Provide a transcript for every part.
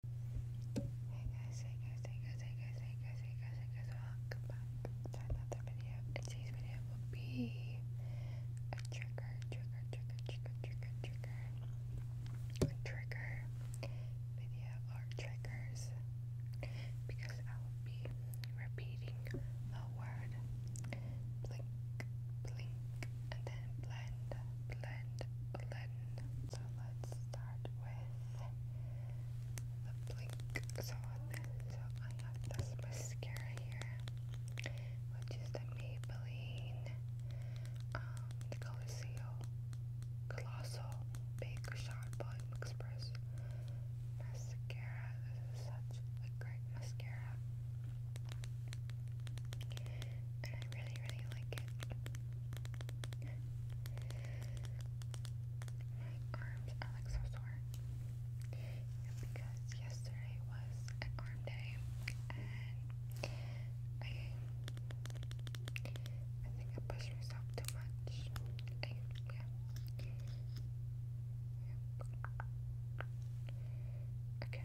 Hey guys, hey guys, hey guys, hey guys, hey guys, hey guys, welcome back to another video. today's video will be a trigger, trigger, trigger, trigger, trigger, trigger, a trigger video or triggers because I will be repeating a word blink, blink, and then blend, blend, blend. So let's start with the blink. So, I have this mascara here, which is the Maybelline um, the Colossal Colossal Bake Shot Volume Express mascara. This is such a great mascara. I really, really like it. My arms are like so sore. because yesterday was an arm day and I think I pushed myself too much. yeah. Okay,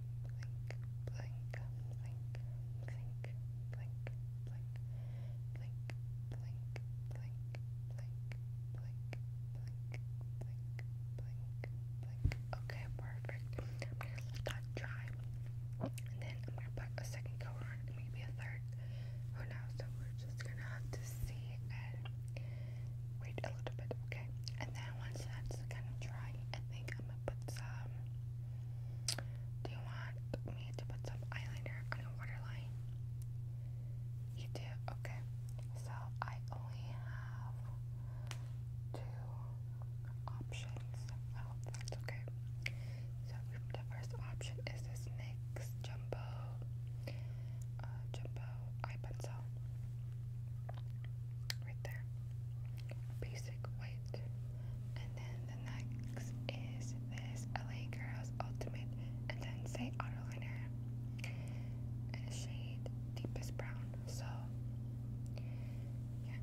blink. Okay, perfect. I'm gonna let that dry. And then I'm gonna put a second coat on maybe a third. Who knows? So we're just gonna have to see wait a little bit, okay? And then once that's kind of dry, think Do you want me to put some eyeliner on your waterline? You do? Okay. So I only have two options. Oh, that's okay. So the first option is this NYX Jumbo uh, Jumbo Eye Pencil. Right there basic white. And then the next is this LA Girls Ultimate Intense Auto Liner in the shade Deepest Brown. So, yeah.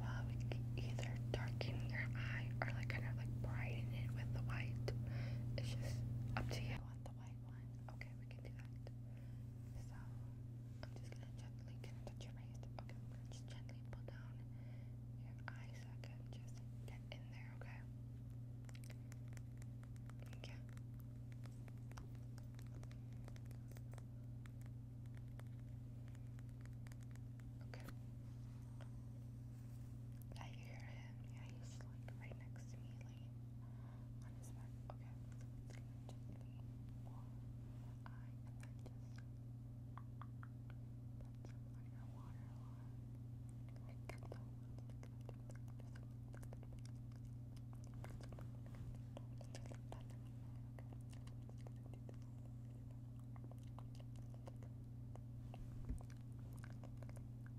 Well, we can either darken your eye or like kind of like brighten it with the white. It's just up to you light one. Okay, we can do that. So I'm just gonna gently can I touch your face? Okay, just gently pull down your eye so just get in there, okay? Yeah. Okay. I hear him. Yeah, he's like right next to me, like on his back. Okay. Gently pull. I and then just put some onion water on. Like so. Okay.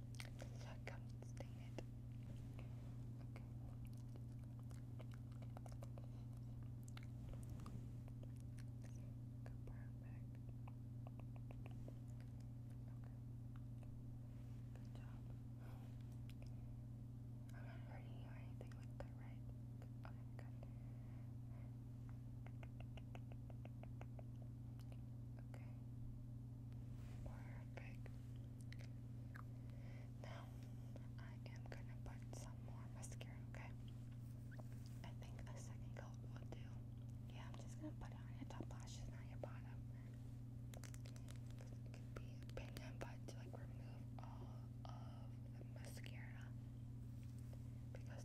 Suck I'm not hurting you or anything like that, right? Okay. Perfect. Now I am gonna put some more mascara, okay? I think a second will do. Yeah, I'm just gonna put on your top lashes, not your bottom. could be a opinion, but to like remove all of the mascara. Because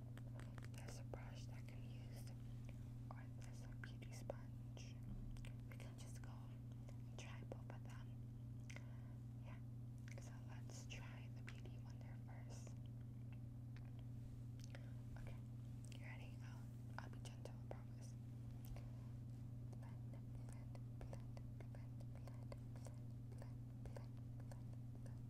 there's a brush that can be used, or there's a beauty sponge. We can just go try both of them. Yeah, so let's try the beauty wonder first. Okay, you ready? I'll, I'll be gentle, promise.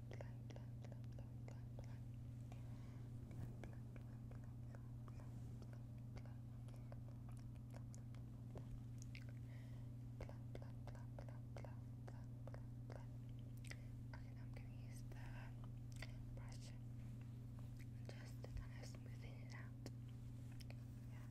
Okay, now I'm going to use the brush just to kind of smoothen it out. Yeah.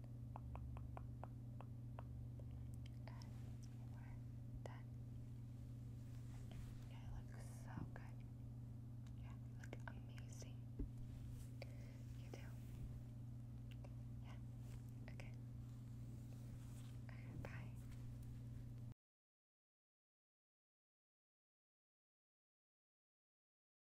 And we're done. Yeah, it looks so good. Yeah, you look amazing. You do. Yeah. Okay. Alright, bye.